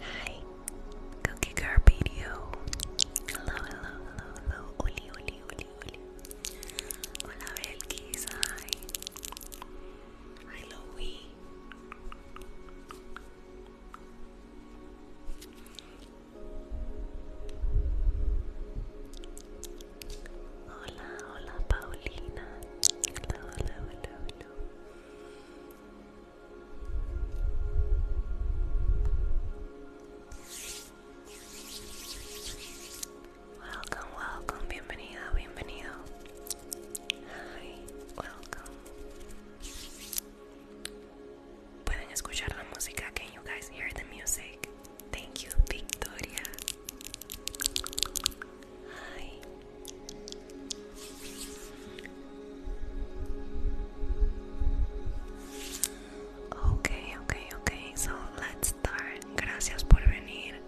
Hi, Cookie Carpedio. Hello, hello, hello, hello. Oli, oli, oli, oli. Hola, Belkis. Hi. Hi, Hola, hola Paulina. Hola, hola, hola, Welcome, welcome, bienvenida, bienvenido. Hi, welcome. Pueden escuchar la música. Can you guys hear the music? Thank you, Victoria. Hi. Okay, okay, okay. So let's start. Gracias por venir.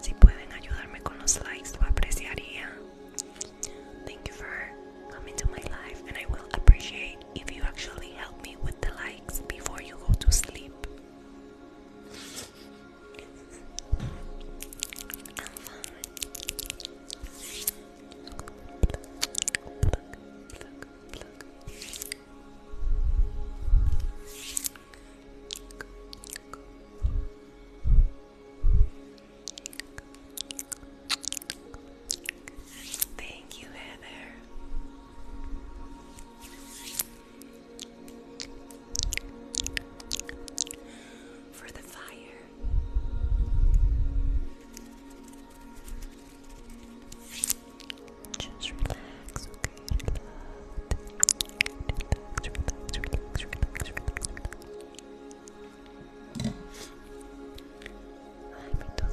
Si pueden ayudarme con los likes, lo apreciaría. Thank you for coming to my life, and I will appreciate if you actually help me with the likes before you go to sleep. Thank you, Heather. For the fire. Just relax, okay? Relax, Ay, mi duda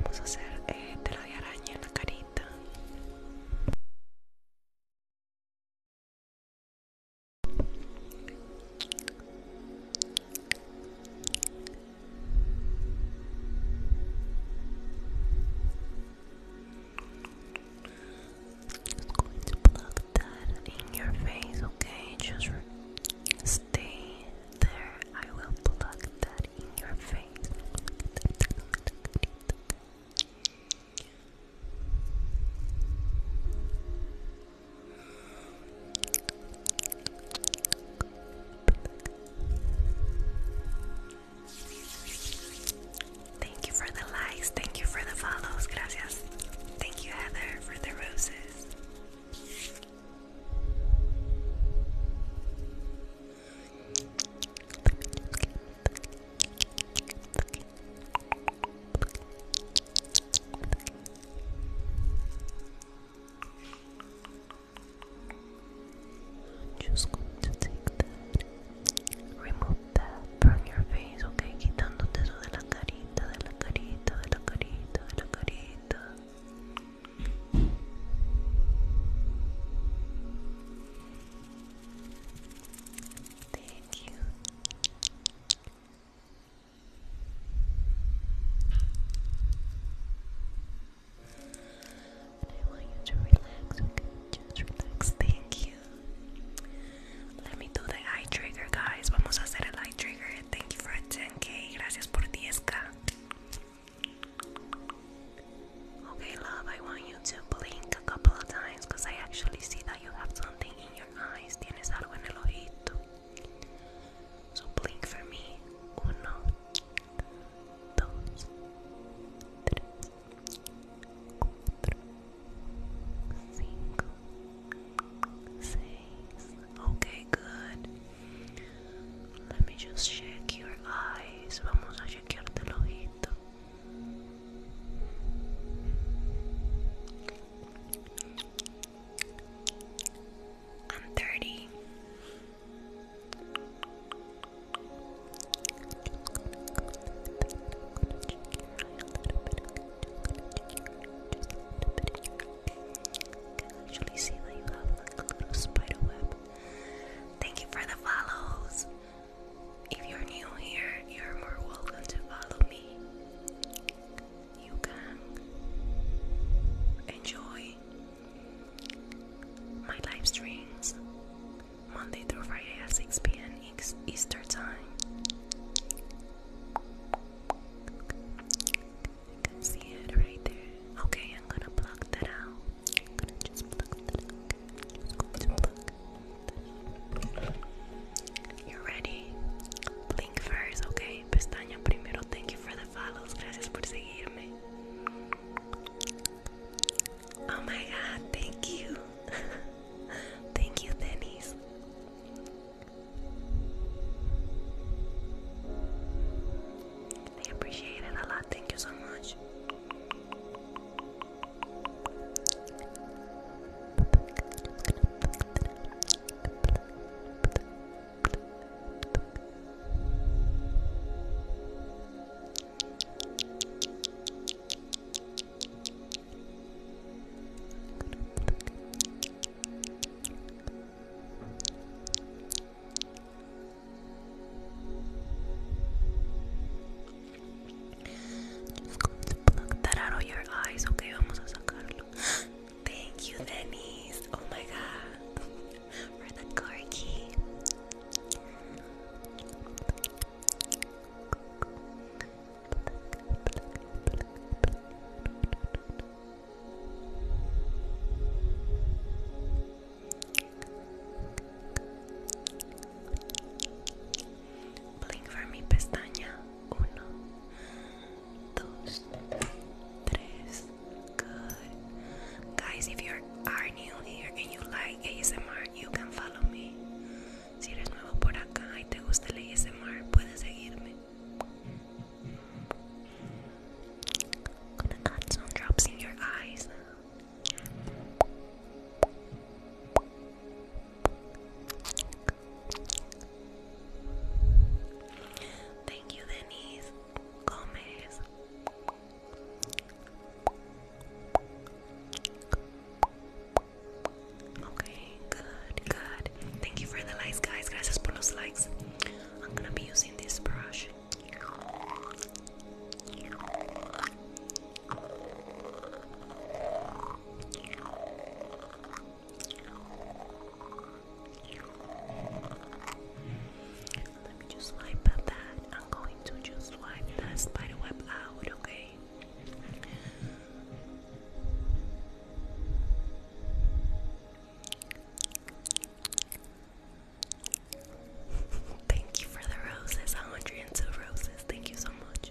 Vamos a hacer eh, lo de araña en la carita. just going to plug that in your face, okay? Just stay there. I will plug that in your face. Thank you for the likes, thank you for the follows, gracias. Thank you, Heather, for the roses. I'm just going to take that, remove that from your face, okay? Quitándote eso de la Thank you. I want you to relax, okay? Just relax. Thank you. Let me do the eye trigger, guys. Vamos a hacer el eye trigger. Thank you for 10k. Gracias por 10k. Okay, love, I want you to blink a couple of times because I actually see that you have something in your eyes. Tienes algo en el ojito. So blink for me. Uno, dos, tres, cuatro, cinco, Okay, good. Let me just check your eyes. Vamos a chequearte el ojito. I'm 30 can actually see that you have like a little spider Thank you for the follows. If you're new here, you're more welcome to follow me. You can enjoy my live streams Monday through Friday at 6 p.m. Easter time. You can see it right there. Okay, I'm gonna pluck that out. I'm gonna just pluck that out. you ready. Blink first, okay? Pestaña primero. Thank you for the follows. Gracias por seguirme. Oh my god, thank you. thank you, Denise. They appreciate it a lot. Thank you so much. Just going to pluck that out of your eyes, okay? Vamos a sacarlo. Thank you, Denise. Oh my god. For the car Blink for mi pestaña. Uno, dos, tres. Good. Guys, if you are new here and you like ASMR, you can follow me. Si eres nuevo por acá y te gusta el ASMR, puedes seguirme. I'm going drops in your eyes. Thank you, Denise Gomez. Okay, good, good. Thank you for the likes, guys. Gracias por los likes. I'm gonna be using this brush. Let me just wipe that. I'm going to just wipe that spider web out, okay? Thank you for the roses, 102 roses. Thank you so much.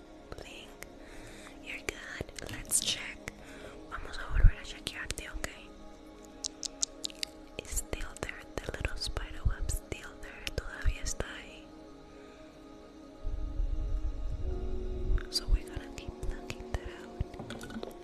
You're good. Let's check. Vamos a volver a chequearte, ok? It's still there. The little spider still there. Todavía está ahí. So we're gonna keep plucking that out.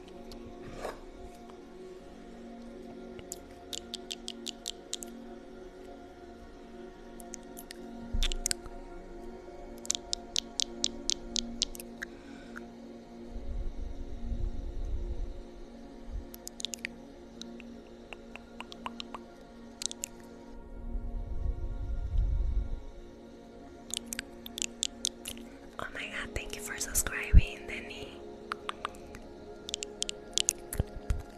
Oh my god, thank you for subscribing, Denny.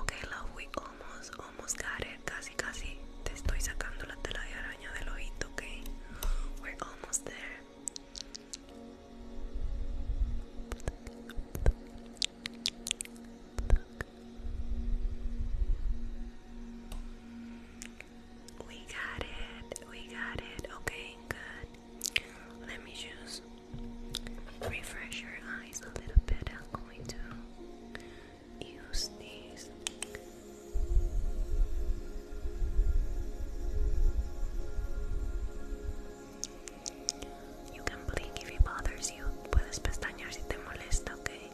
Ok, love, we almost, almost got it. Casi, casi. Te estoy sacando la tela de araña del ojito, ok? We're almost there. We got it. We got it. Okay, good. Let me just refresh your eyes a little bit. I'm going to use these. You can blink if it bothers you. Puedes pestañear si te molesta, okay?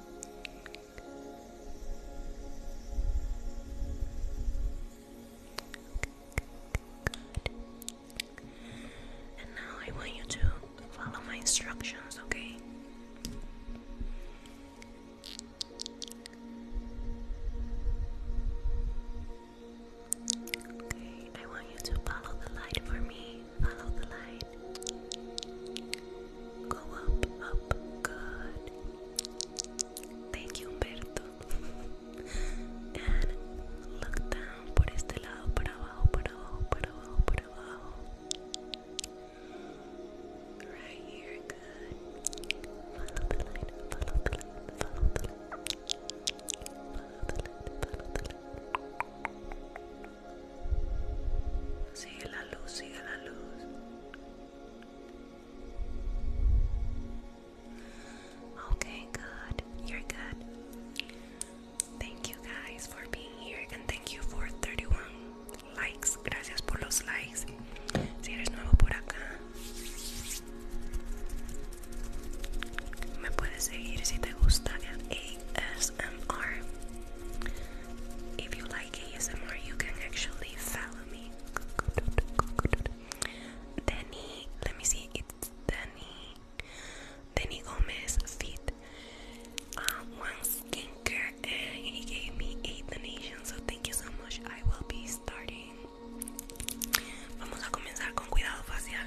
And now I want you to follow my instructions, okay? Okay, I want you to follow the light for me. Follow the light. Go up, up, good. Thank you, Humberto. And look down por este lado, para abajo, para abajo, para abajo, para abajo. Right here, good. Follow the light, follow the light follow the light Follow the light, follow the light Sigue la luz, sigue la luz. Okay, good. You're good. Thank you guys for being here and thank you for 31 likes. Gracias por los likes. Si eres nuevo por acá, me puedes seguir si te gusta en ASMR. If you like ASMR, you can actually follow me. Danny, let me see, it's Danny, Danny Gomez Fit. Uh, one skincare, and he gave me eight donations, so thank you so much. I will be starting. Vamos a comenzar con cuidado facial.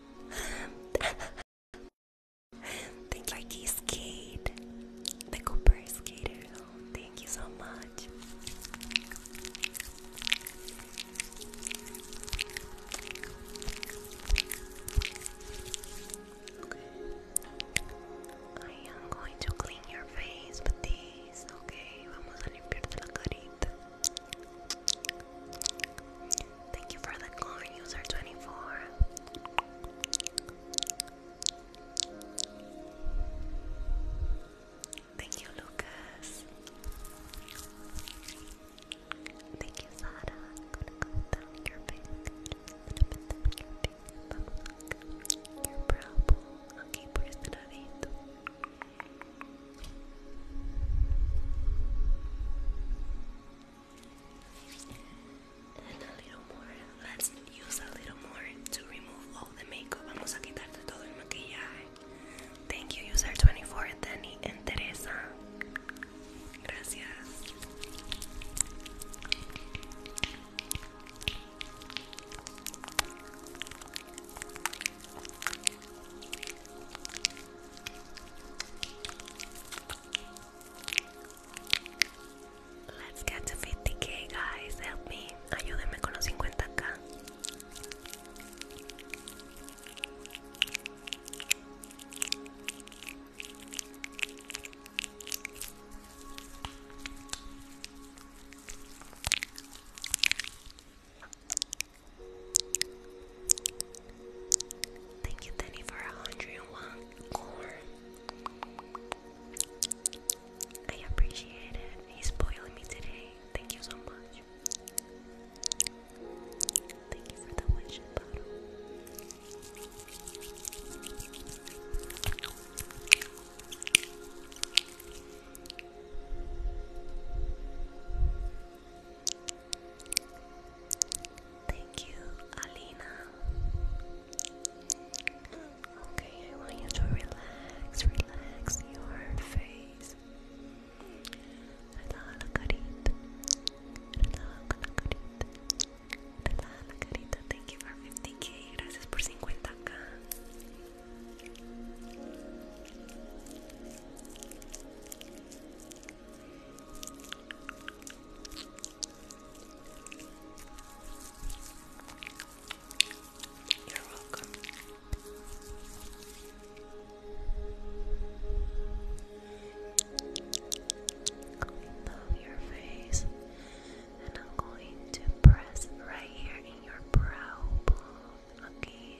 Think like he skate. The Cooper skater. thank you so much. I am going to clean your face with this, okay? Vamos a limpiarte la carita. Thank you for the core user 24. Thank you, Lucas. Thank you, Sara. your finger, your finger, your brow bone. Okay, por and a little more. Let's use a little more to remove all the makeup. Vamos a quitarte todo el maquillaje. Thank you, user 24, Dani and Teresa. Gracias. Let's get to 50k guys, help me. Ayúdenme con los 50k. Thank you, Danny, for 101 corn. I appreciate it. He's spoiling me today. Thank you so much. Thank you for the wishing bottle. Thank you, Alina. Okay, I want you to relax, relax your face. la carita. la la Thank you for Gracias por 50k. You're welcome. Clean off your face, and I'm going to press right here in your brow bone. Okay.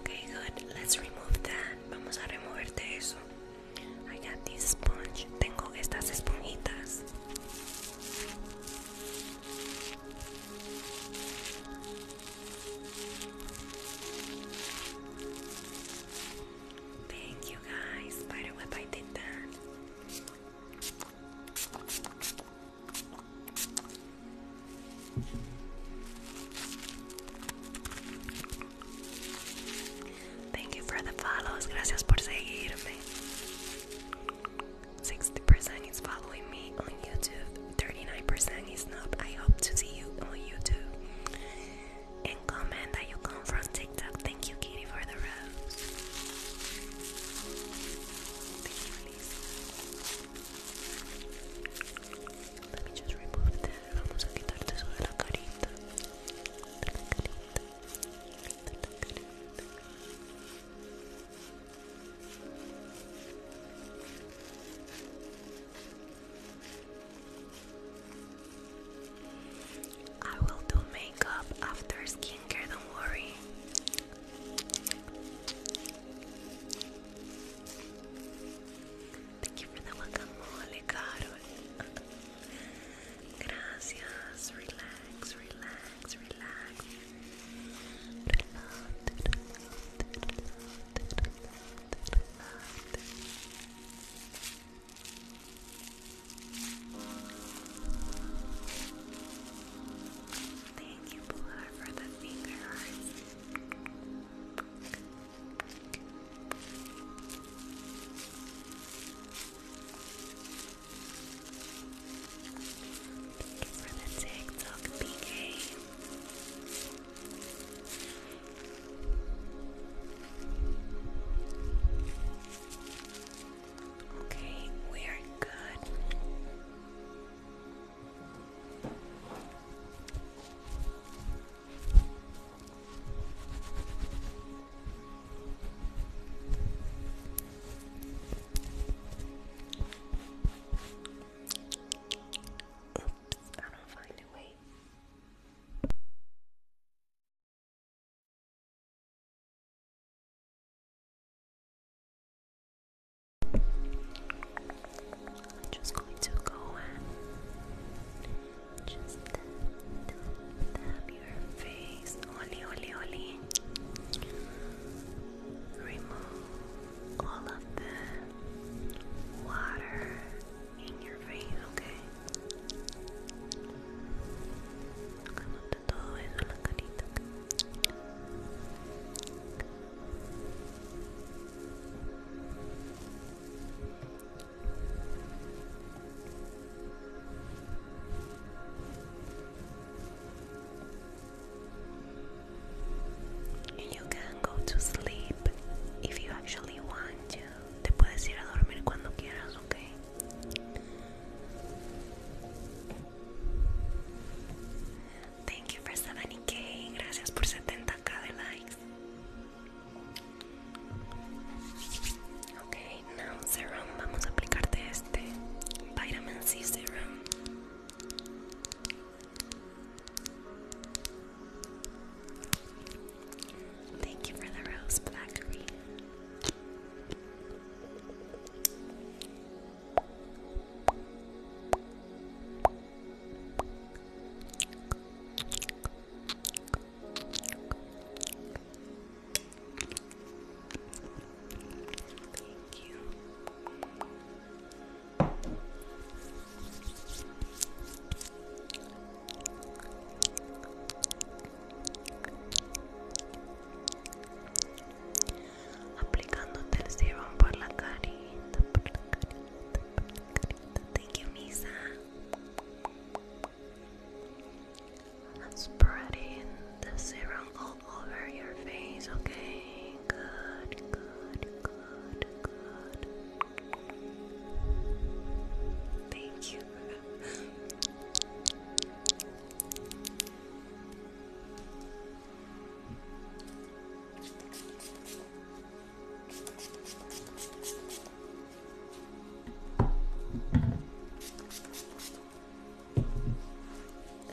Okay, good. Let's remove that. Vamos a removerte eso. I got this sponge. Tengo estas esponjitas. Thank you guys. Spider web, I did that. Thank you for the follows. Gracias por seguirme. 60% is following me on YouTube. 39% is not. I hope to see you on YouTube and comment that you come from TikTok. Thank you, Kitty, for the rose. Let me just remove that. Vamos a quitarte eso de la carita. De la I will do makeup after skincare, don't worry. Thank you for the guacamole, Carol. Gracias. relax, relax, relax. Thank you, Bula, for the finger Thank you for the TikTok PK. Okay, we good. I don't find a way. I'm just going to go and just tap your face. Oli, oli, oli. Remove all of the water in your face, okay? Tocándote todo eso, la carita. And you can go to sleep if you actually want te puedes ir a dormir cuando quieras, ¿ok? Thank you for 70k. Gracias por 70k de likes. Ok, now serum. Vamos a aplicarte este Vitamin C Serum. Thank you for the rose, Blackery. Thank you aplicándote el serum por la carita, por la carita, por la carita. Thank you, Misa. Spreading the serum all over your face, okay? Good, good, good, good. Thank you.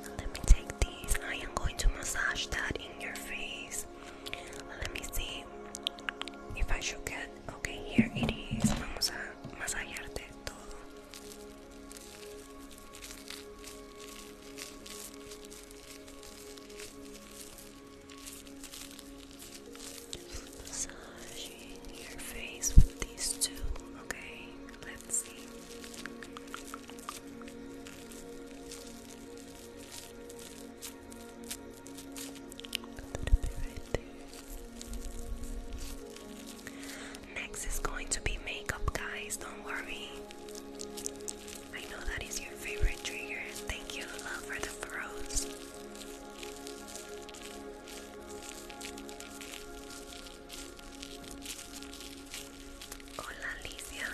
Let me take these. I am going to massage that in your face. Let me see if I should get Ok, here it is. Vamos a masajearte todo. Just your face with these two. Okay, let's see. Next is going to be makeup, guys. Don't worry. I know that is your favorite trigger. Thank you, love, for the froze. Hola, Alicia.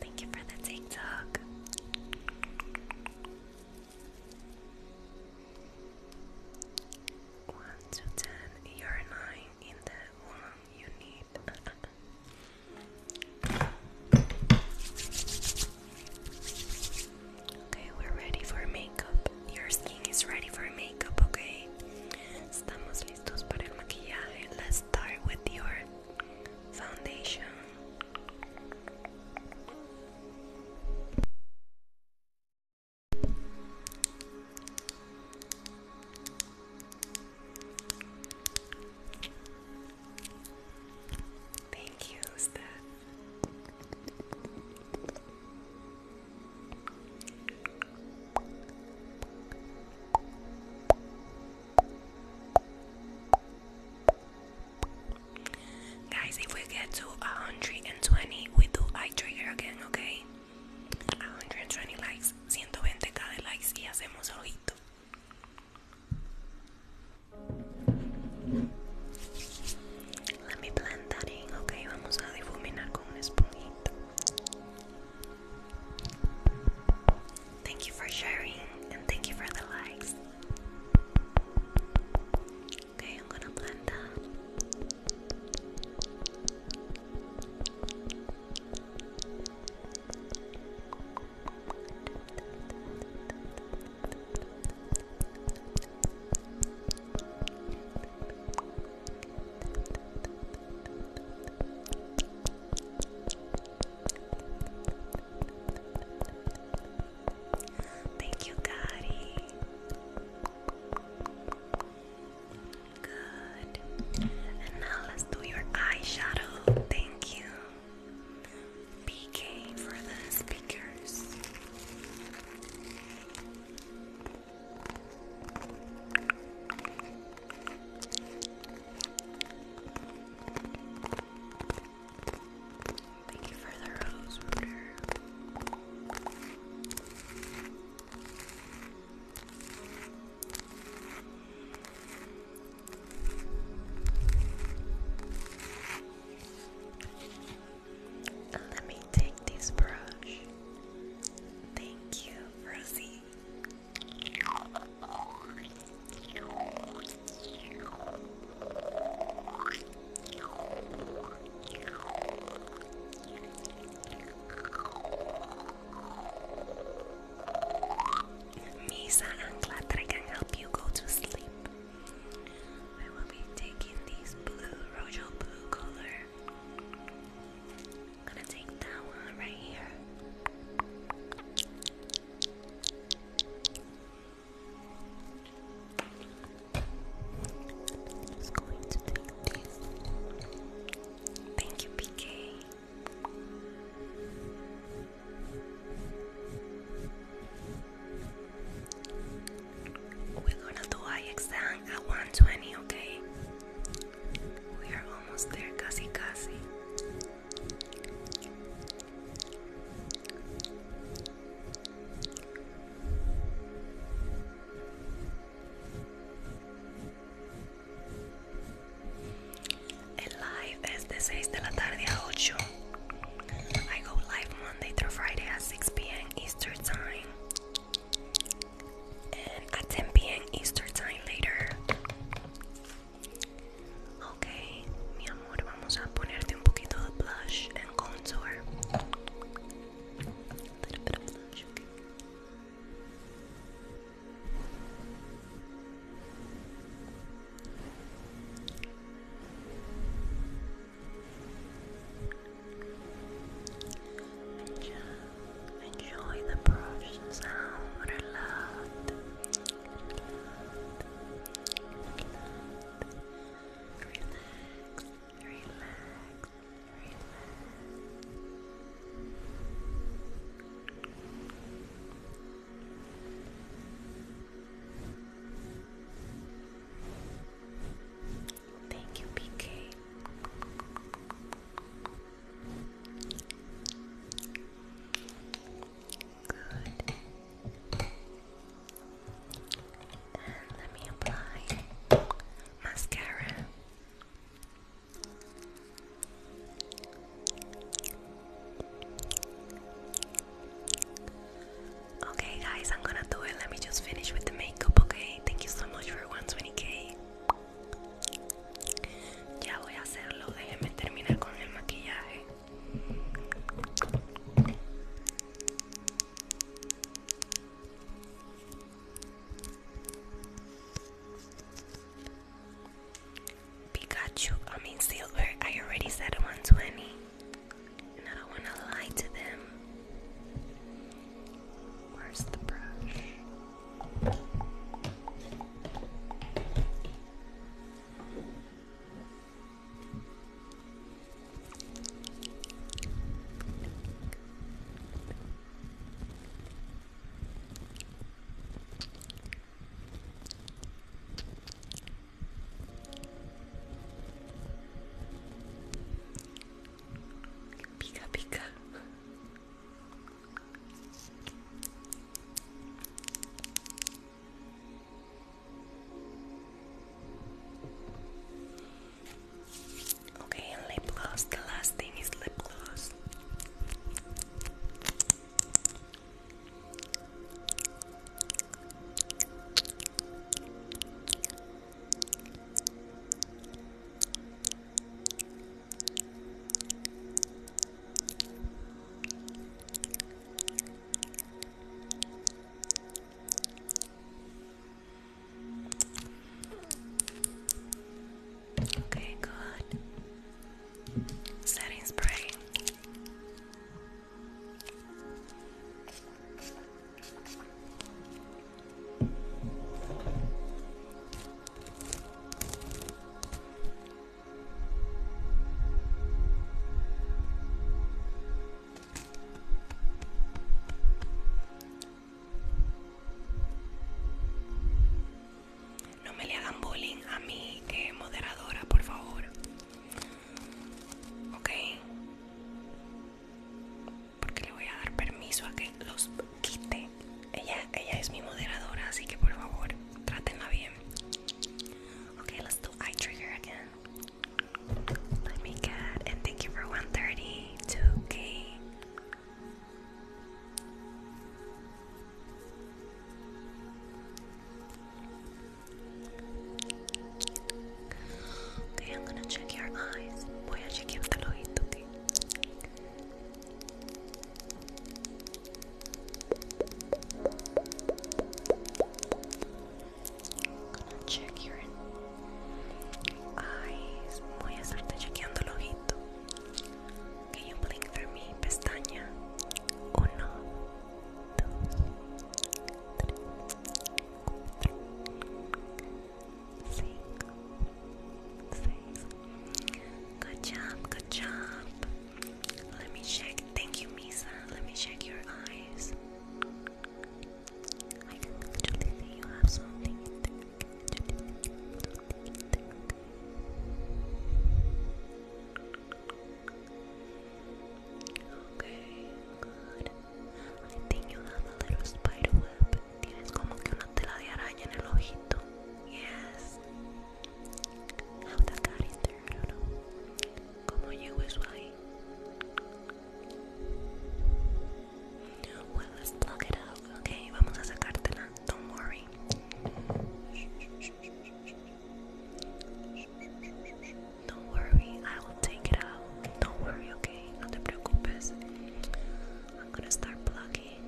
Thank you for the TikTok. One to you you're nine in the one you need. Okay, we're ready for makeup. Your skin is ready for makeup, okay? Estamos listos para el maquillaje. Let's start with your foundation. Thank you, Steph. Guys, if we get to 120, we do eye trigger again, okay? 120 likes, 120 cada likes y hacemos ojito. Let me blend that ok, vamos a difuminar con una esponjita. Thank you for sharing and thank you for the likes. Okay, I'm gonna blend that. Thank you, Gotti. Good. And now let's do your eyeshadow. Thank you. PK for the speakers. Thank you for the rose let me take this brush. Thank you, Rosie. Misa and Glad that I can help you go to sleep. I will be taking this blue, royal blue color. gonna take that one right here. just going to take this. Thank you, PK. We're gonna do eye exam at 120, okay? We are almost there, casi casi. El live es de 6 de la tarde a 8. I go live Monday through Friday at 6 p.m. Eastern Time and at 10 p.m. Eastern Time later. Ok, mi amor, vamos a ponerte un poquito de blush and contour. A little bit of blush, okay. Enjoy the brush sound, relax, relax, relax. Thank you, PK. Good. And let me apply mascara. Okay, guys, I'm gonna do it. Let me just finish with the makeup, okay? Thank you so much for 120k. Ya voy a hacerlo. Déjenme terminar con el maquillaje. Pikachu, I mean, Silver, I already said 120. I don't want to lie to them. Where's the brush? Pika pika. Okay, lip gloss. The last thing is lip gloss. Okay, good. Setting spray. No me le hagan bullying a mi que moderadora, por favor ok porque le voy a dar permiso a que los quite ella ella es mi moderadora así que por favor trátenla bien ok let's do eye trigger again let me get and thank you for 132k I'm gonna check your eyes. Voy a chequearte el ojito, okay? I'm gonna check your eyes. Voy a estarte chequeando el ojito. Can you blink for me? Pestaña. Uno, Six. Six. Good job, good job. Let me check. Thank you, Misa. Let me check your eyes. Okay, good. I think you have a little spider web. Tienes como que una tela de araña en el ojito. Yes. How that got in there, I don't know. ¿Cómo llegó eso ahí. Well, let's plug it out. Okay, vamos a sacártela. Don't worry. Don't worry, I will take it out. Don't worry, okay? No te preocupes. I'm gonna start plugging.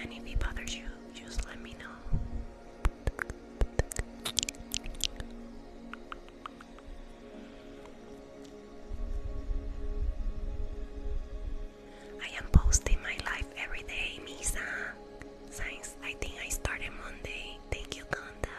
And bothers you, just let me know. I am posting my life every day, Misa. Since I think I started Monday. Thank you, Conda.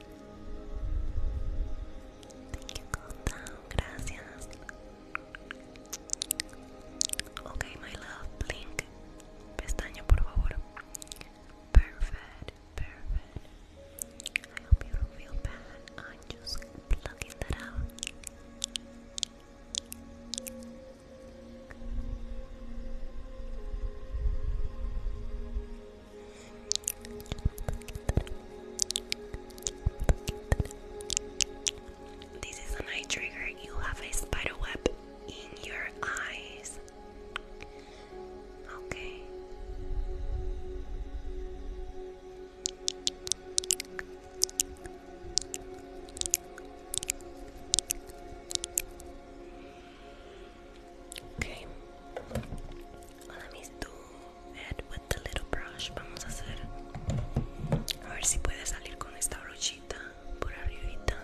Thank you, Gracias. Ok, my love, blink. Pestaña, por favor. Perfect, perfect. I hope you don't feel bad. I'm just plugging that out. This is an eye trigger. You have a spider web in your eyes. Okay. Okay. Let me do head with the little brush. Vamos a hacer, a ver si puede salir con esta brochita por arribita.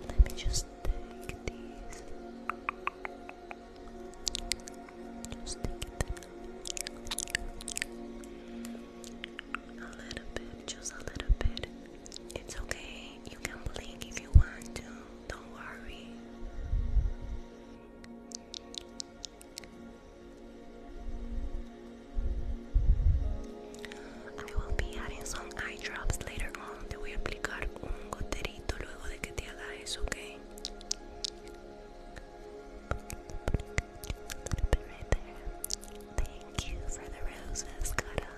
Let me just take these. Just A little bit, just a little bit. It's okay. You can blink if you want to. Don't worry. I will be adding some eye drops later on. Te voy a aplicar un goterito luego de que te haga eso, ¿ok? Right there. Thank you for the roses, Cara.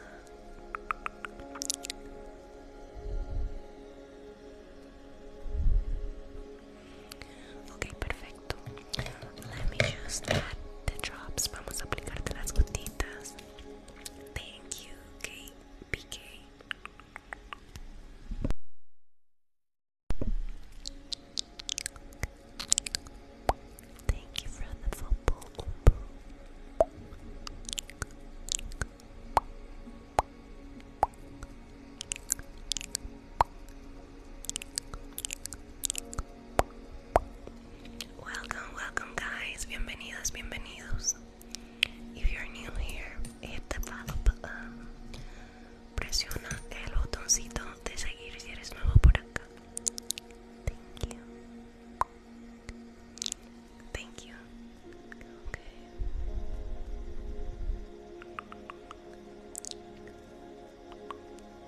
Ok, perfecto. Let me just add the drops. Vamos a aplicarte las gotitas. Thank you, KPK. Thank you for the football. Welcome, welcome, guys. Bienvenidos, bienvenidos. If you're new here, hit the follow button. Presiona el botoncito de seguir si eres nuevo por acá. Thank you. Thank you. Okay.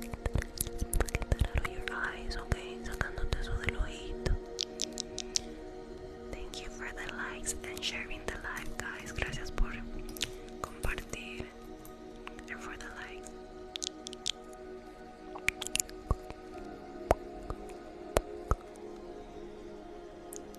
Get that your eyes, okay? Sacándote eso del ojito. Thank you for the likes and sharing the live, guys. Gracias por compartir and for the likes.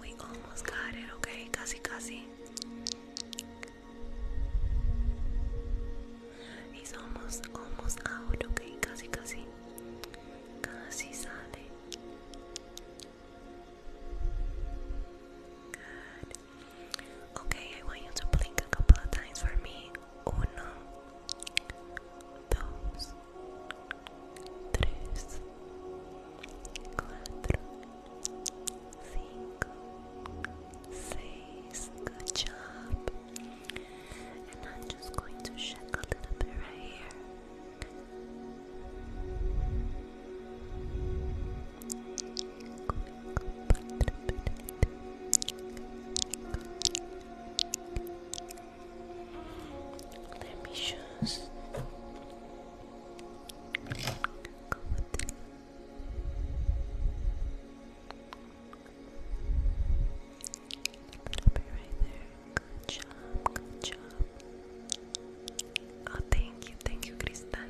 We almost got it, okay? Casi, casi. He's almost, almost out, okay? Casi, casi. Casi sale. Good. Okay, I want you to blink a couple of times for me. Uno, dos, tres, cuatro cinco, seis. Good job. And I'm just going to shake a little bit right here. Let me just Stop it right there. Good job, good job. Oh, thank you, thank you, Cristal.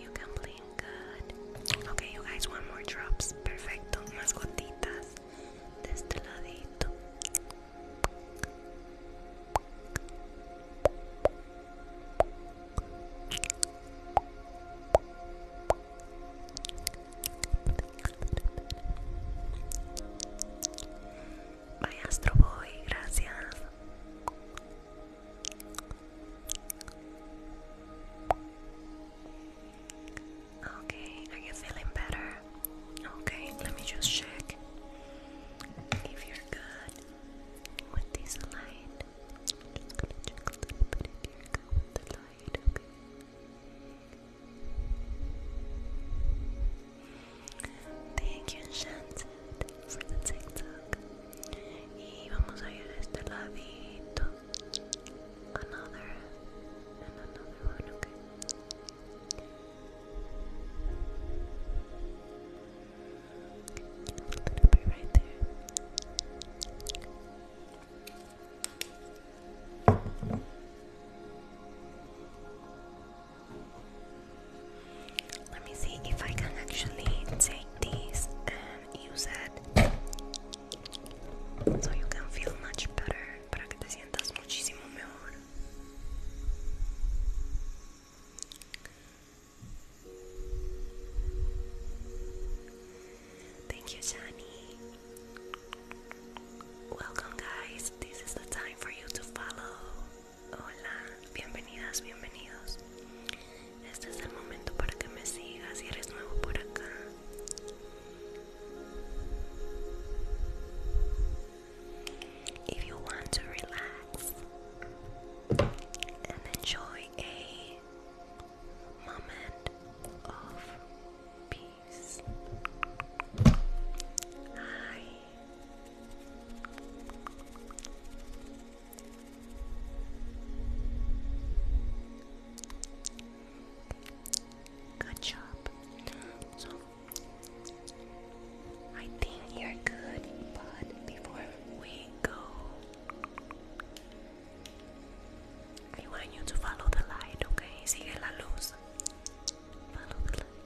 You can blink good. Okay, you guys want more drops? Perfecto, más gotitas. de este ladito Vaya Astroboy, gracias. Okay, are you feeling better? Okay, let me just check if you're good with this light. Thank you, Enchanted, for the TikTok. Y vamos a ir a este ladito. Another, and another one, okay? little Let me see if I can actually take this and use it so you can feel much better. para que te sientas muchísimo mejor. Thank you, Shani. Welcome, guys. This is the time for you to follow. Hola, bienvenidas, bienvenidos. Este es el momento para que me sigas si eres nuevo por acá. If you want to relax and enjoy a moment of peace. Hi. Good job. So I think you're good, but before we go, I want you to follow the light, okay? Sigue la luz. Follow the light.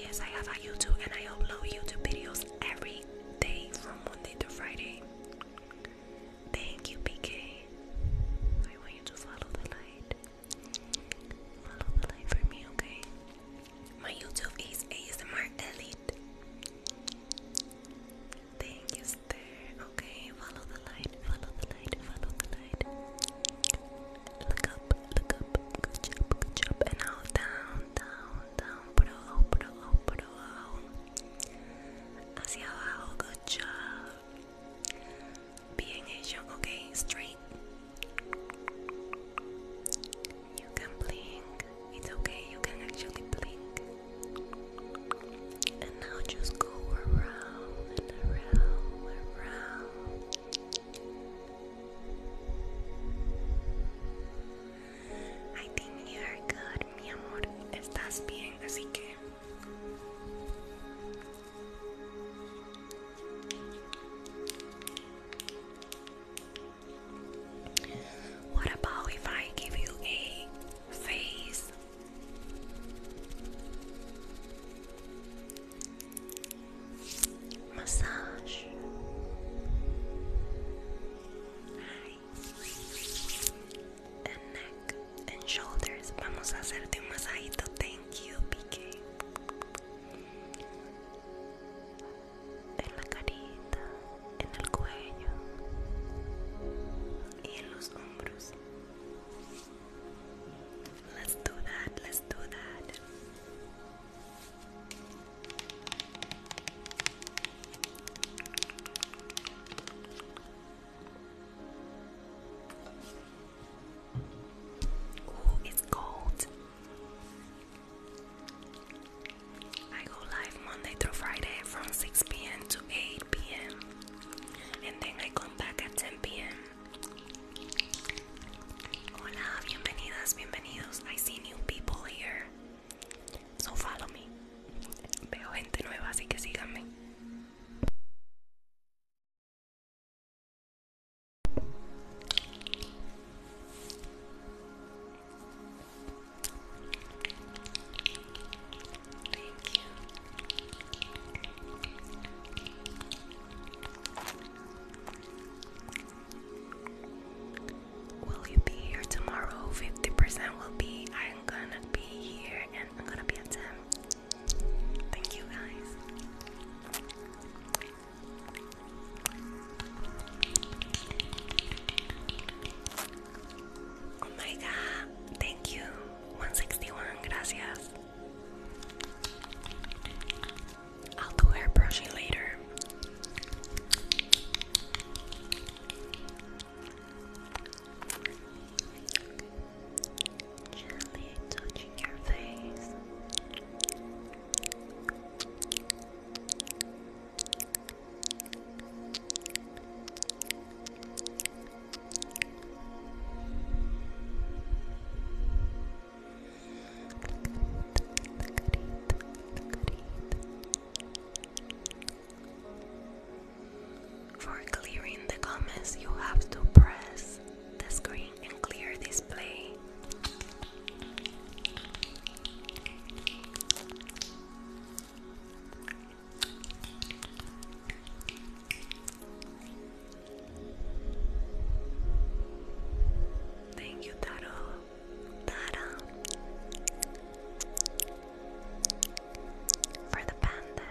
Yes, I have a YouTube and I upload YouTube videos every day from Monday to Friday. Thank you, PK. I want you to follow the light. Follow the light for me, okay? My YouTube is ASMR Elite. Thank you, Esther. Okay, follow the light, follow the light, follow the light. Look up, look up. Good job, good job. And now down, down, down. Bro, oh, bro, oh, bro. Oh hacia abajo, good job, bien hecho, ok, straight, you can blink, it's okay, you can actually blink, and now just go around and around, around. I think you are good, mi amor. What about if I give you a face? Massage. and neck and shoulders. Vamos a hacerte un masajito. Thank you, PK. En la carita, en el cuello y en los hombros. Let's do that, let's do that. it's cold. I go live Monday through Friday from 6 p.m. to 8 p.m. And then I come back at 10 p.m. Hola, bienvenidas, bienvenidos. I see new people here. So follow me. Veo gente nueva, así que síganme. Will you be here tomorrow? 50% will be. I'm gonna be here and I'm gonna be at 10. Thank you guys. Oh my god, thank you. 161, gracias. I'll do hair brushing later. Gently touching your face. For clearing the comments, you have to press the screen and clear display. Thank you, Taro. Tara for the panda.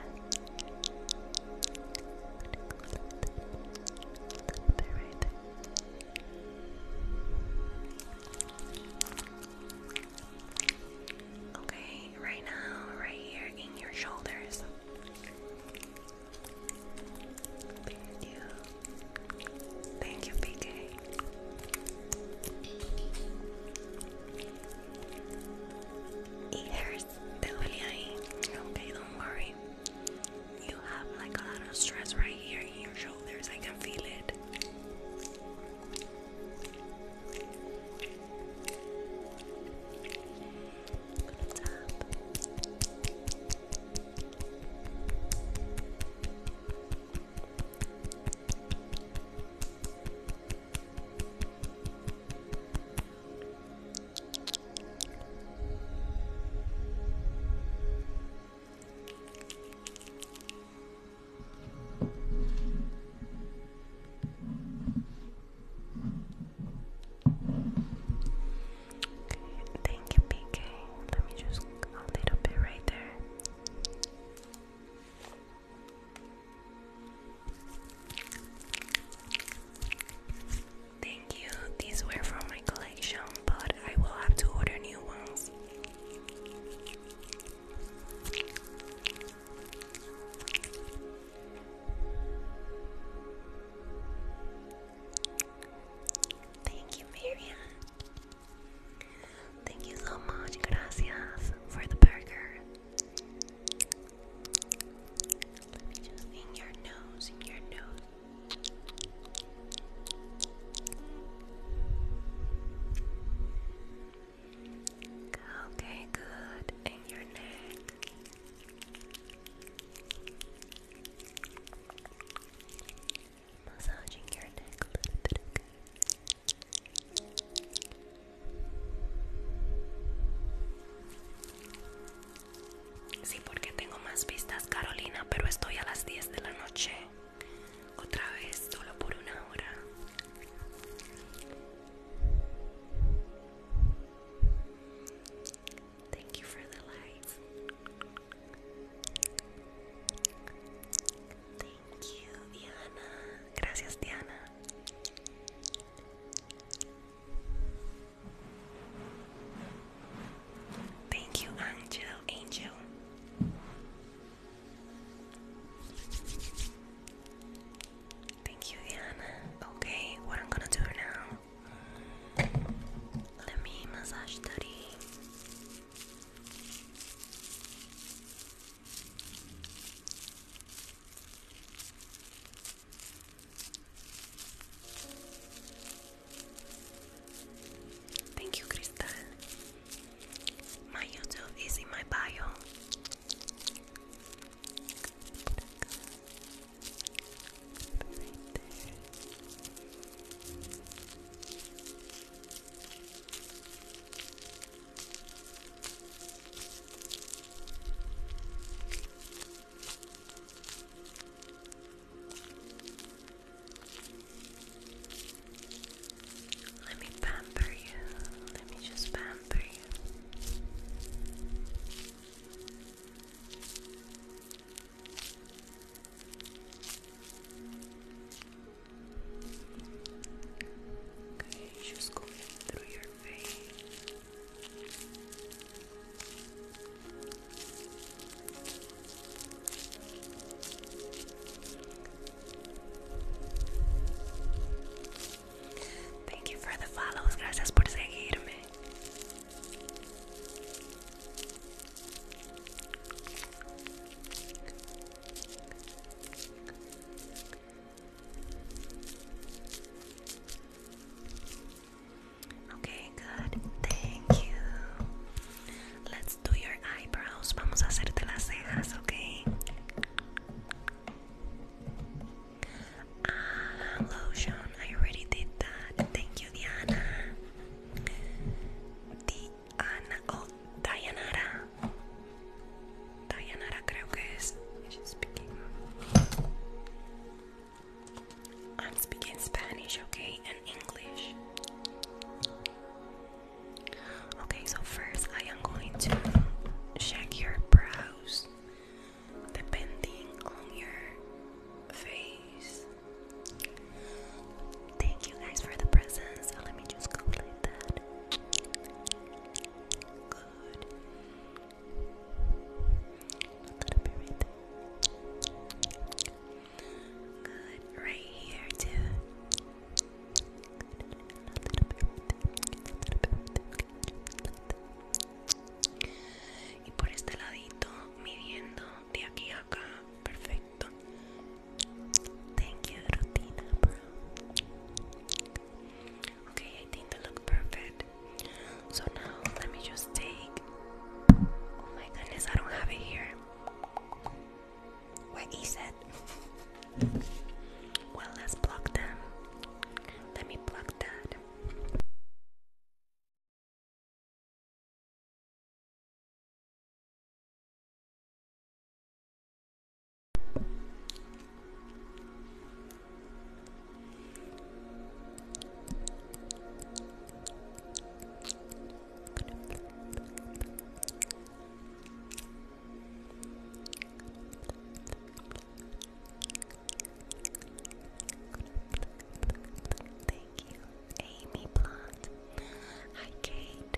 Okay, right now, right here in your shoulders. Thank you. Thank you, PK. It hurts totally. Okay, don't worry. You have like a lot of stress right here in your shoulders. I can feel it. Okay, thank you, PK. Let me just a little bit right there. Thank you. These were from my collection, but I will have to order new ones. Thank you, Miriam. Thank you so much, gracias, for the burger. Let me in your nose, in your nose. Okay, good. And your neck. Massaging your neck a little bit, Sí, porque tengo más vistas, Carolina, pero estoy a las 10 de la noche. Otra vez, solo por una hora. Thank Thank you, Diana. Gracias, Diana. Thank you, Angel. Angel. Thank you, Diana. Okay, what I'm gonna do now? Let me massage the. Thank you, Crystal. My YouTube is in my bio. Let me pamper you. Let me just pamper you. Good just going through your veins. Thank you for the follows, gracias por seguirme. Okay, good. Thank you. Let's do your eyebrows. Vamos a hacerte las cejas, okay? Ah, lotion. I already did that. Thank you, Diana. Diana. Oh, Dianara. I'm speaking Spanish, okay, and English. Okay, so first I am going to check your brows depending on your face. Thank you guys for the presents. let me just go like that. Y por este ladito, midiendo de aquí acá, perfecto. Thank you, rutina, bro. Okay, I think they look perfect. So now let me just take. Oh my goodness, I don't have it here. Where is it? Well, let's block them. Let me block that. Thank you, Amy Blunt. Hi, Kate.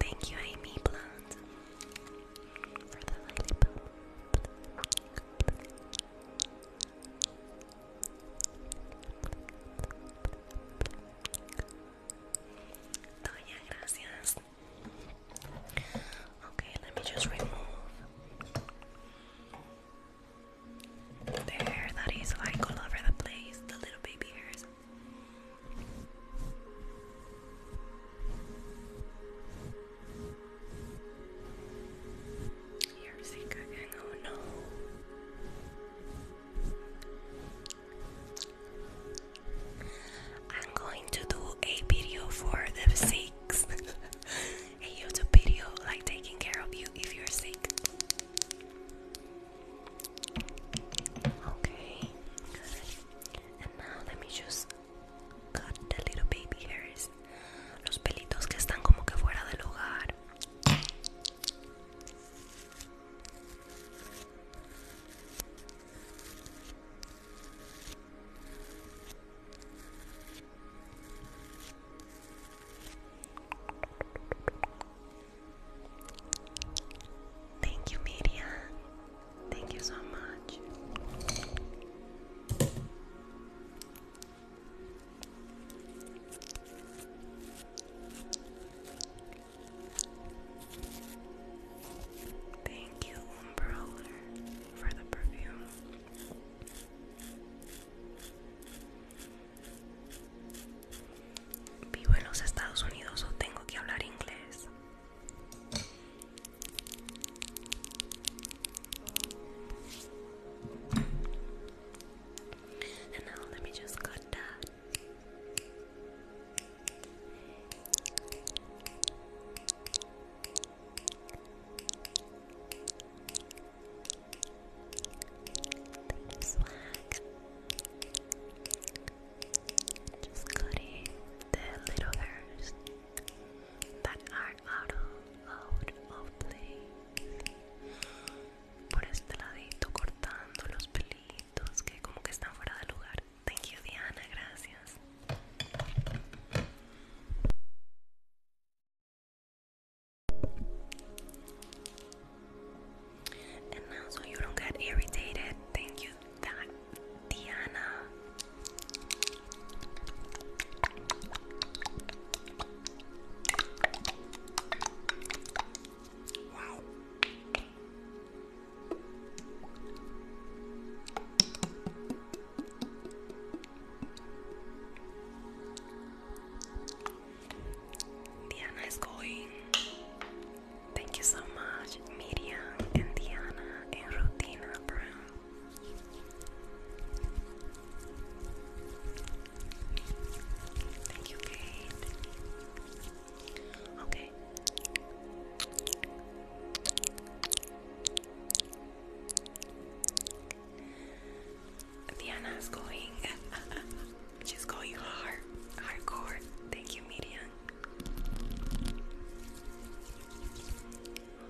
Thank you, Amy Blunt, for the lollipop. Doña oh, Gracias. Okay, let me just remove the hair that is like all over the place, the little baby hairs. Here's he cooking, oh no. I'm going to do a video for the sick. a YouTube video like taking care of you if you're sick. Okay, good. And now let me just cut the little baby hairs. Los pelitos que están como que fuera del lugar. Thank you, Media. Thank you so much. Thank you, Umbrella, for the perfume. Vivo en los Estados Unidos o tengo que hablar inglés. And now let me just cut that. Just cutting the little hairs that are out place. Por este ladito cortando los pelitos que como que están fuera de lugar. Thank you Diana, gracias. And now, so you don't get irritated, thank you, that Diana. Wow. Diana is going Thank you so much, Miriam and Diana and Rutina Brown. Thank you, Kate. Okay. Diana's going. She's going hard, hardcore. Thank you, Miriam.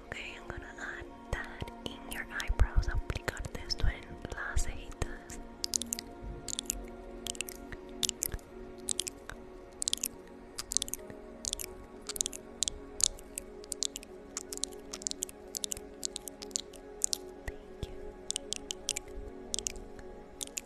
Okay, I'm gonna add that in your eyebrows, aplicarte esto en las cejitas. Thank you.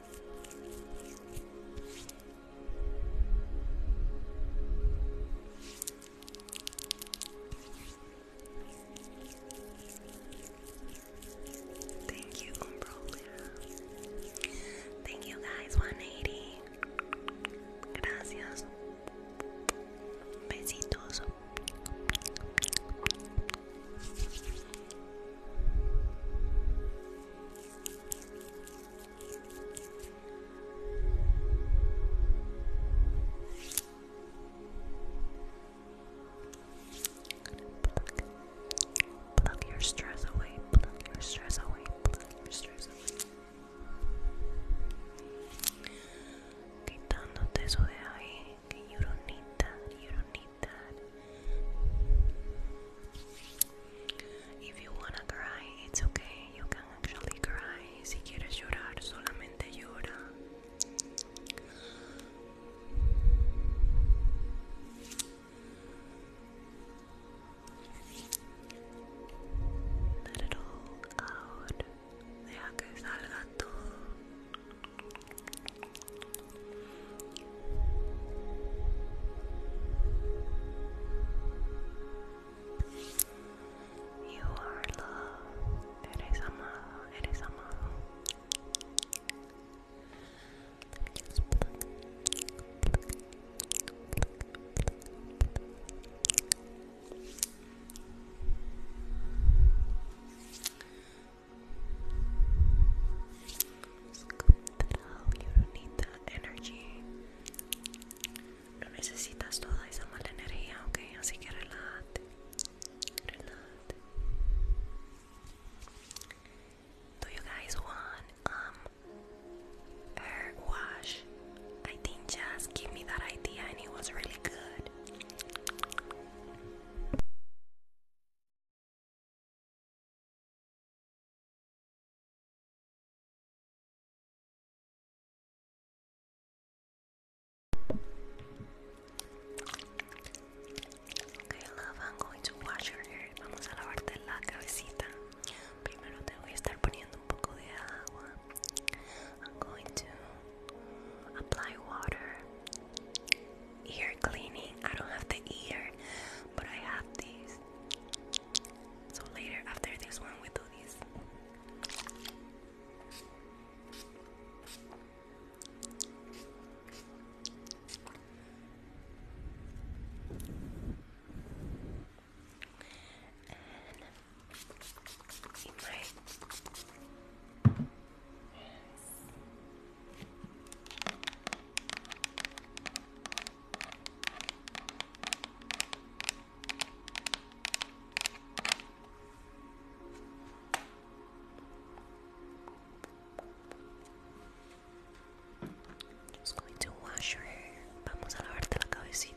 Thank you, Umbrolia. Thank you guys, 180. Gracias. Besitos. Plug your stress away, plug your stress away, plug your stress away. Quitándote eso de you don't need that, you don't need like If you wanna cry, it's okay. You can actually cry. Si quieres llorar, solamente llora. Let it all out. Deja que salga todo. You are loved, eres amado, eres amado. Scoop that don't need that you guys want um hair wash? I think Jazz gave me that idea and it was really good. Okay, love, I'm going to wash your hair. Vamos a lavarte la cabecita. Primero te voy a estar poniendo un poco de agua. I'm going to apply water ear cleaning. I don't have the ear, but I have these. So later, after this one, we do this. Just going to wash your hair. Vamos a lavarte la cabecita.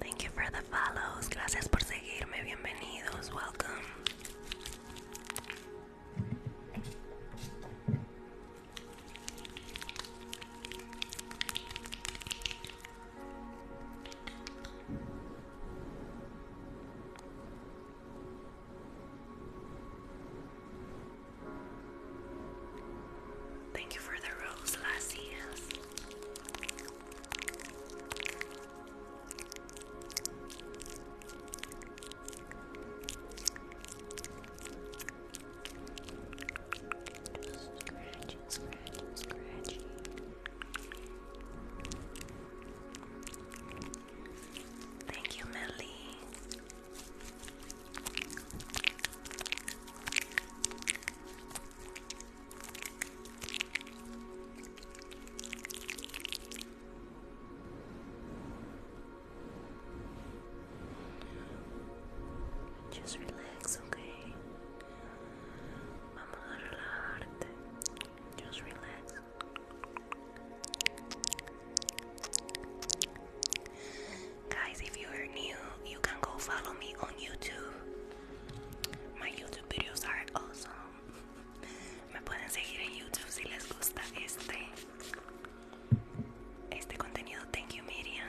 Thank you for the follows. Gracias por seguirme. Bienvenidos. Welcome. Thank you for the rose, Lassie. Just scratching, scratching, scratching. Thank you, Millie. Just relax, okay? Vamos a relajarte. Guys, if you are new, you can go follow me on YouTube. My YouTube videos are awesome. Me pueden seguir en YouTube si les gusta este este contenido. Thank you, Miriam.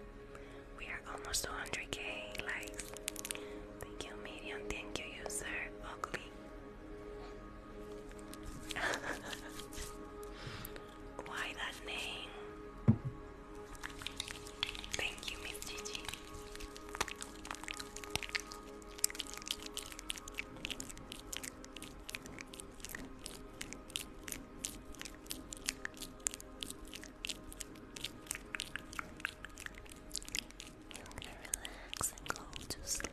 We are almost 100k likes. Thank you, Medium. Thank you, user. Ugly. Why that name? Thank you, Miss Gigi. You want to relax and go to sleep.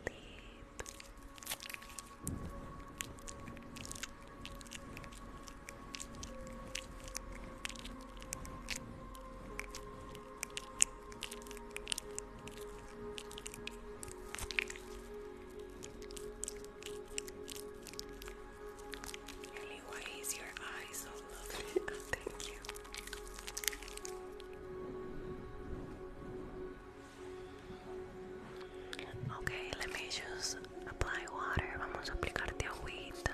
Ellie, is your eye so lovely? Oh, thank you. Okay, let me just apply water. Vamos a aplicarte agüita.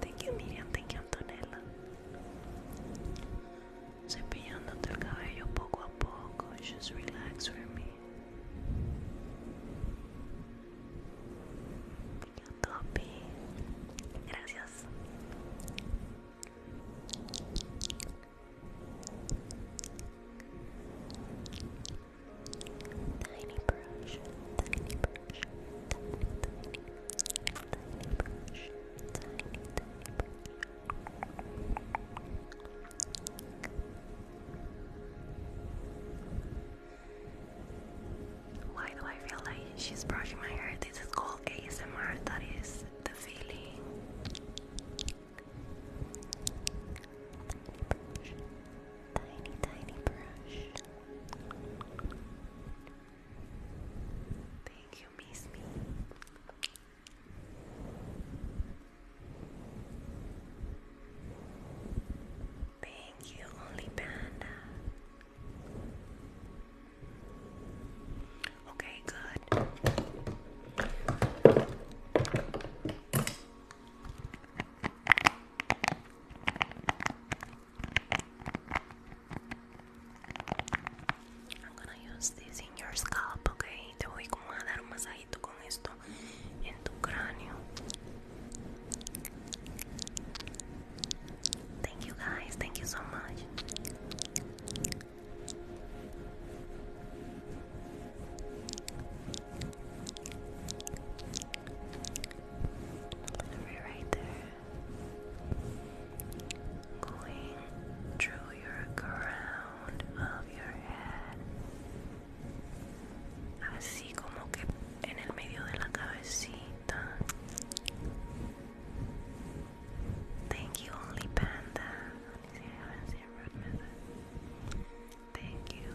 Thank you, Miriam. Thank you, Antonella. Cepillándote el cabello poco a poco. Just relax for me. Gracias. Tiny brush, tiny brush. Why do I feel like she's brushing my hair? This is called ASMR, that is the feeling. tiny, tiny brush. Thank you, miss me. Thank you, only panda. Okay, good. I'm gonna use this in your scalp, ok? Te voy a dar un masajito con esto en tu cráneo. Thank you guys, thank you so much. Right there going through your crown of your head así como que en el medio de la cabecita thank you only panda thank you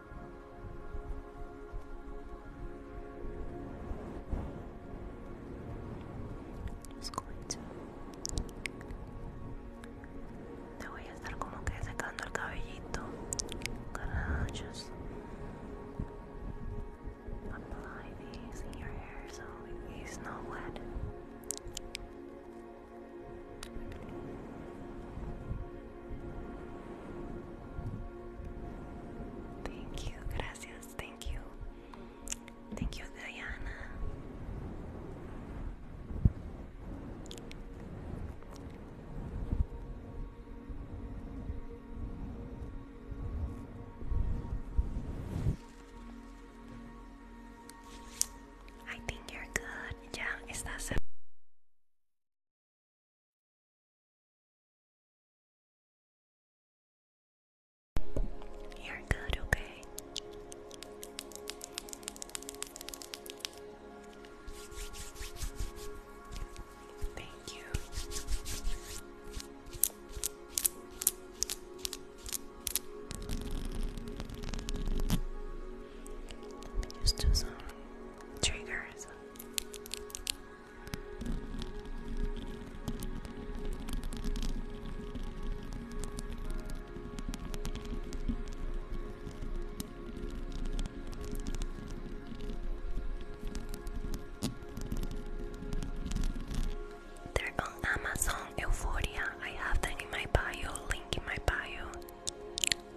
Escucha. Te voy a estar como que secando el cabellito. Carajos. Apply these in your hair so it is not wet. Thank you, gracias, thank you. Thank you, Diana. I think you're good. Yeah, estás you're good, okay? Thank you. Let me just do some triggers. They're on Amazon Euphoria. I have them in my bio, link in my bio.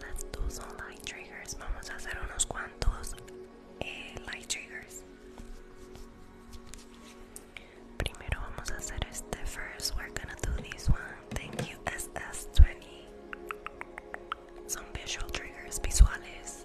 Let's do some light triggers. Vamos a hacer unos cuantos eh, light triggers. Primero vamos a hacer este first. We're gonna do this one. Thank you SS20. Some visual triggers visuales.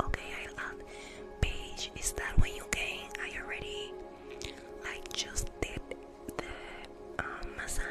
Okay, I love page. Is that when you came? I already like just did the um, massage.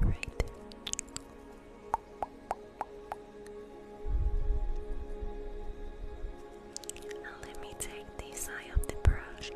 and right. let me take the side of the brush.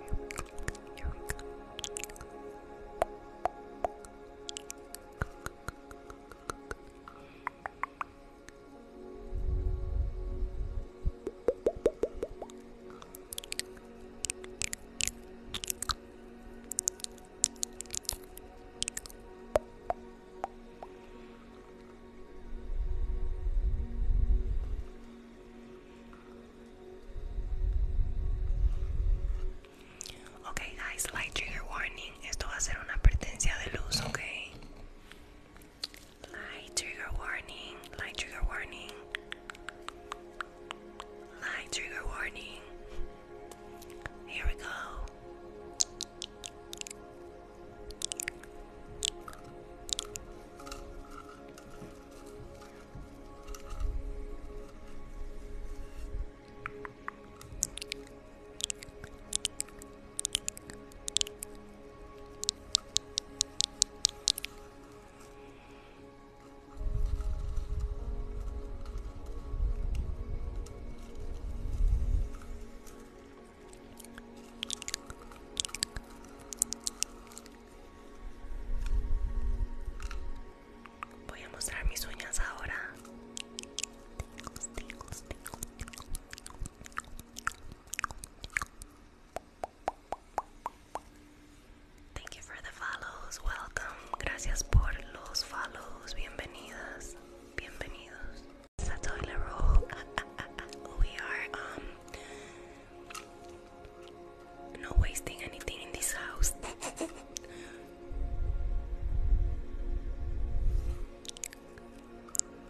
Ok guys, light trigger warning. Esto va a ser una advertencia de luz, okay. Light trigger warning, light trigger warning, light trigger warning. Here we go. Voy a mostrar mis uñas ahora. Thank you for the follows. Welcome. Gracias por los follows. Bienvenidas. Bienvenidos. We are um wasting anything in this house.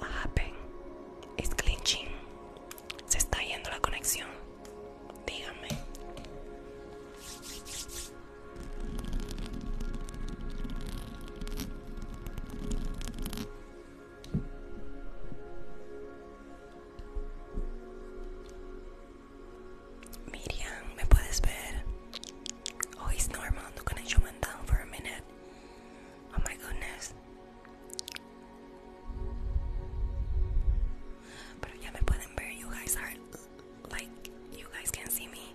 Happen is Se está yendo la conexión. dígame Miriam, ¿me puedes ver? Oh, it's normal. The connection went down for a minute. Oh my goodness. Pero ya me pueden ver. You guys are like, you guys can see me.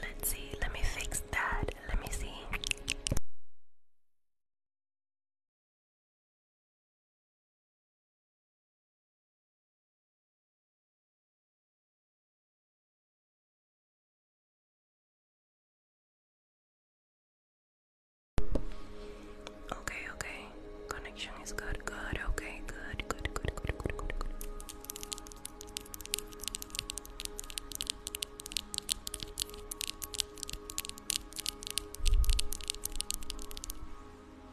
Let's see, let me fix that. Let me see. Okay, okay. Connection is good, good, okay, good, good, good, good, good, good, good.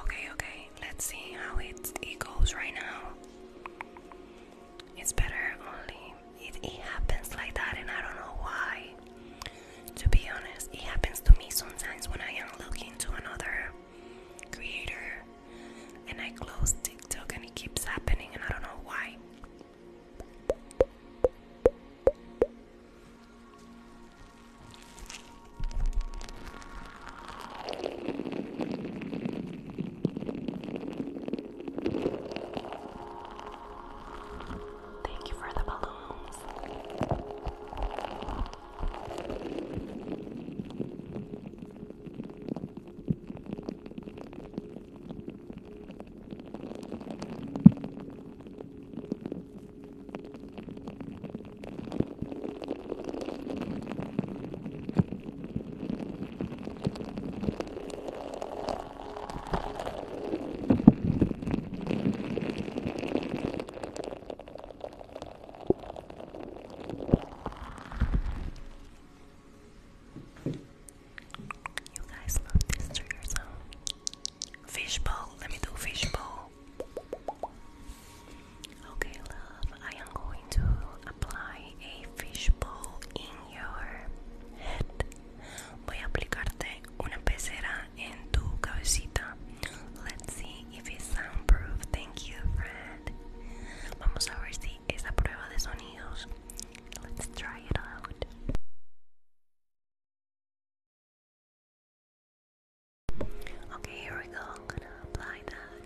Okay, okay, let's see how it, it goes right now. It's better only it, happens like that, and I don't know why. To be honest, it happens to me sometimes when I am looking to another creator, and I close TikTok, and it keeps happening, and I don't know why. Thank you for the balloons. You guys love this trigger sound. Fishbowl, let me do fishbowl. Okay, love, I am going going to apply a fishbowl in your head. Voy a aplicarte una pecera en tu cabecita. Let's see if it's soundproof. Thank you, Fred. Vamos a ver si es a prueba de sonidos. Let's try it out. Okay, here we go. I'm gonna apply that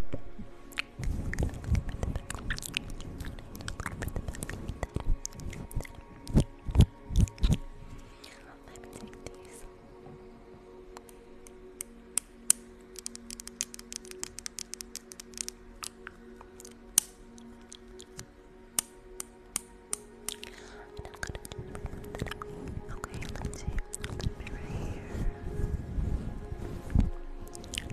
Let me take these. Okay, let's see. Right here.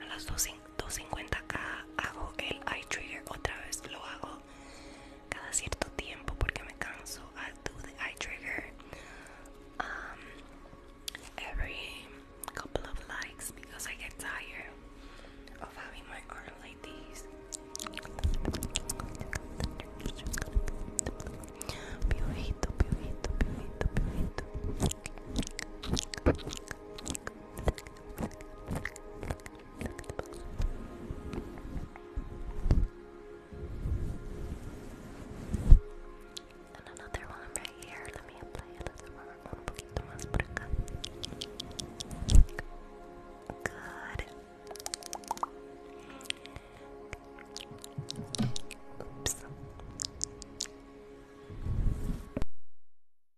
a las 2.50k hago el eye trigger otra vez lo hago cada cierto tiempo porque me canso I do the eye trigger um, every couple of likes because I get tired of having my arm like this Piojito, piojito, piojito, piojito. And another one right here. Let me apply another one un poquito más por Good. Oops.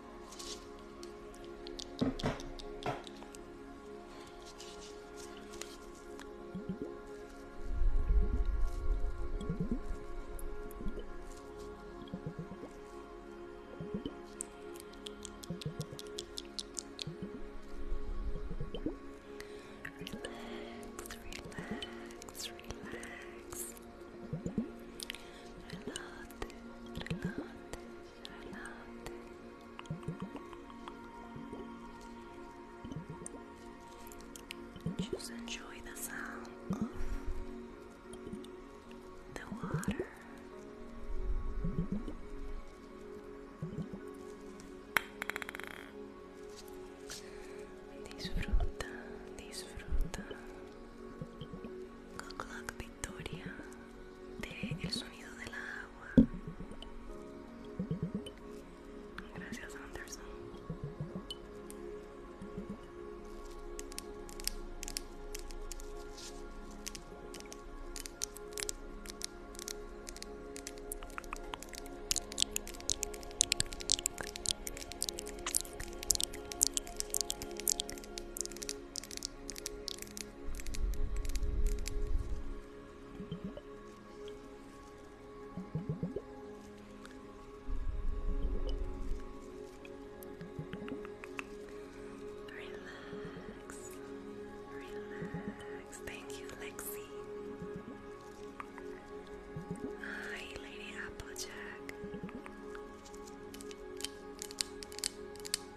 Relax, relax. Relájate, relájate just enjoy the sound of the water Disfruta, disfruta. Good luck, historia del de sonido del agua. Gracias, Anderson. Relax, relax. Thank you, Lexi. Hi, Lady Applejack.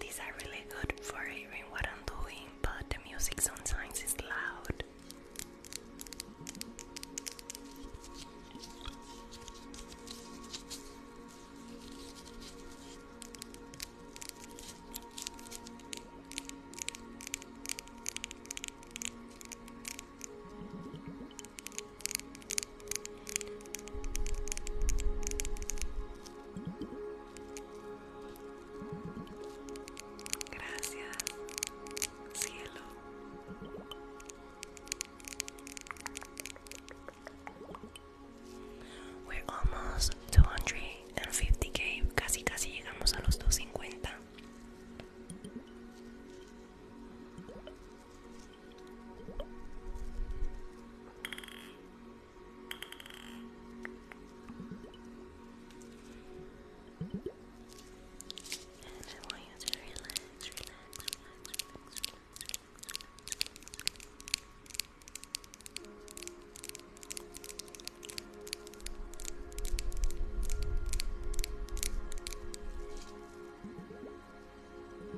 These are really good for hearing what I'm doing, but the music sometimes is loud. Gracias, cielo. We're almost 250k, casi casi llegamos a los 250. And I want you to relax, relax, relax, relax,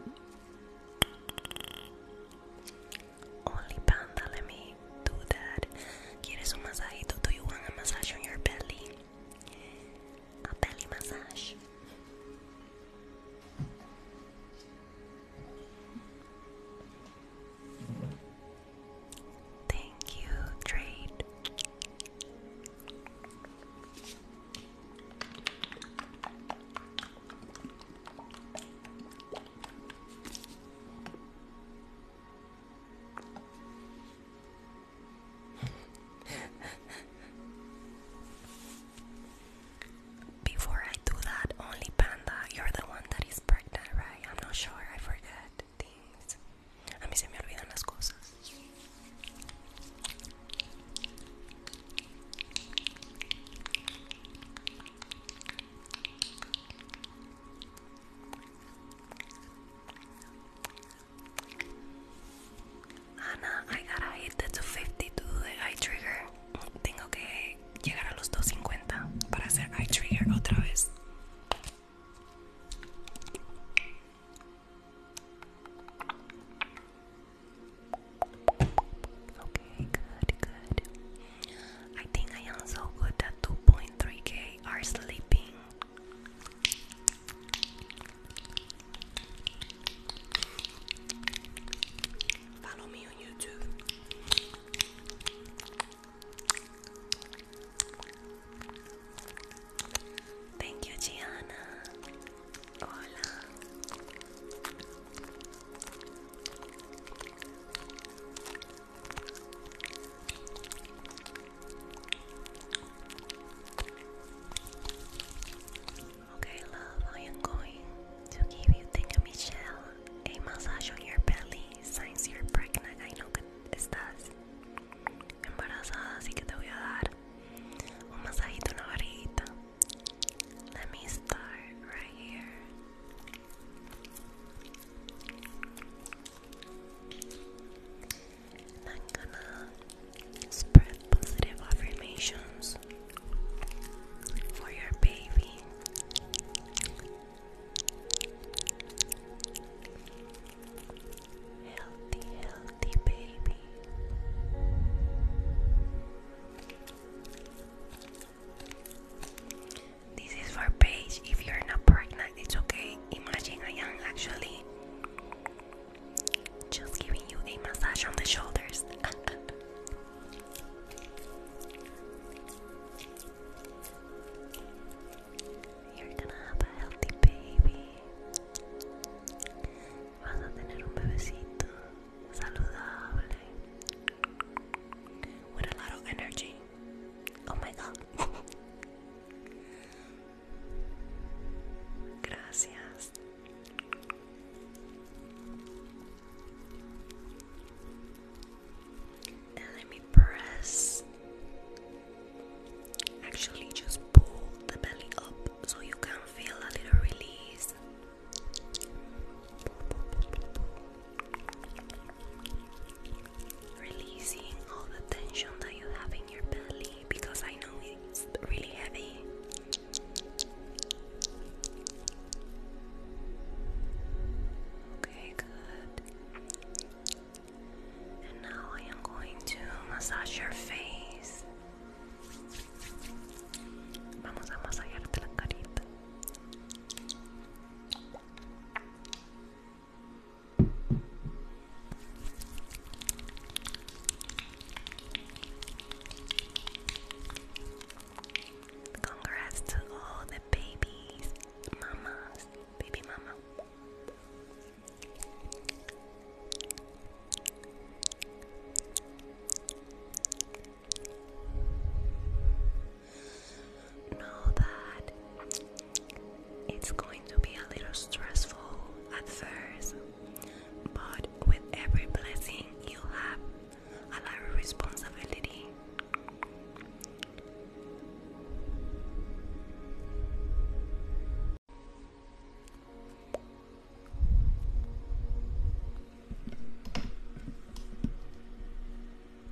relax, relax. Only Panda, let me do that. ¿Quieres un masajito? Do you want a massage on your belly? A belly massage. Thank you, Trade. Before I do that, only Panda, you're the one that is pregnant, right? I'm not sure, I forget things. A mí se me olvidan las cosas. Ana, I gotta hit the 250 to do the eye trigger. Tengo que llegar a los 250 para hacer eye trigger otra vez. Okay, good, good. I think I am so good that 2.3k are sleeping. Follow me on YouTube. Thank you, Gianna. Hola. Okay, love, I am going to give you, think of Michelle, a massage on your belly since you're pregnant. I know que estás embarazada, así que te voy a dar un masajito en la barriguita. Let me start right here. I'm gonna spread positive affirmations for your baby. Healthy, healthy baby. This is for Paige. If you're not pregnant, it's okay. Imagine I am actually just giving you a massage on the shoulders. You're gonna have a healthy baby. Oh my god. Gracias. let me press. Actually, just pull the belly up so you can feel a little release. Releasing all the tension that you have in your belly because I know it's really heavy. Okay, good. And now I am going to massage your face. Vamos a masajearte la carita. Congrats to all the babies, mamas, baby mama know that it's going to be a little stressful at first, but with every blessing, you have a lot of responsibility.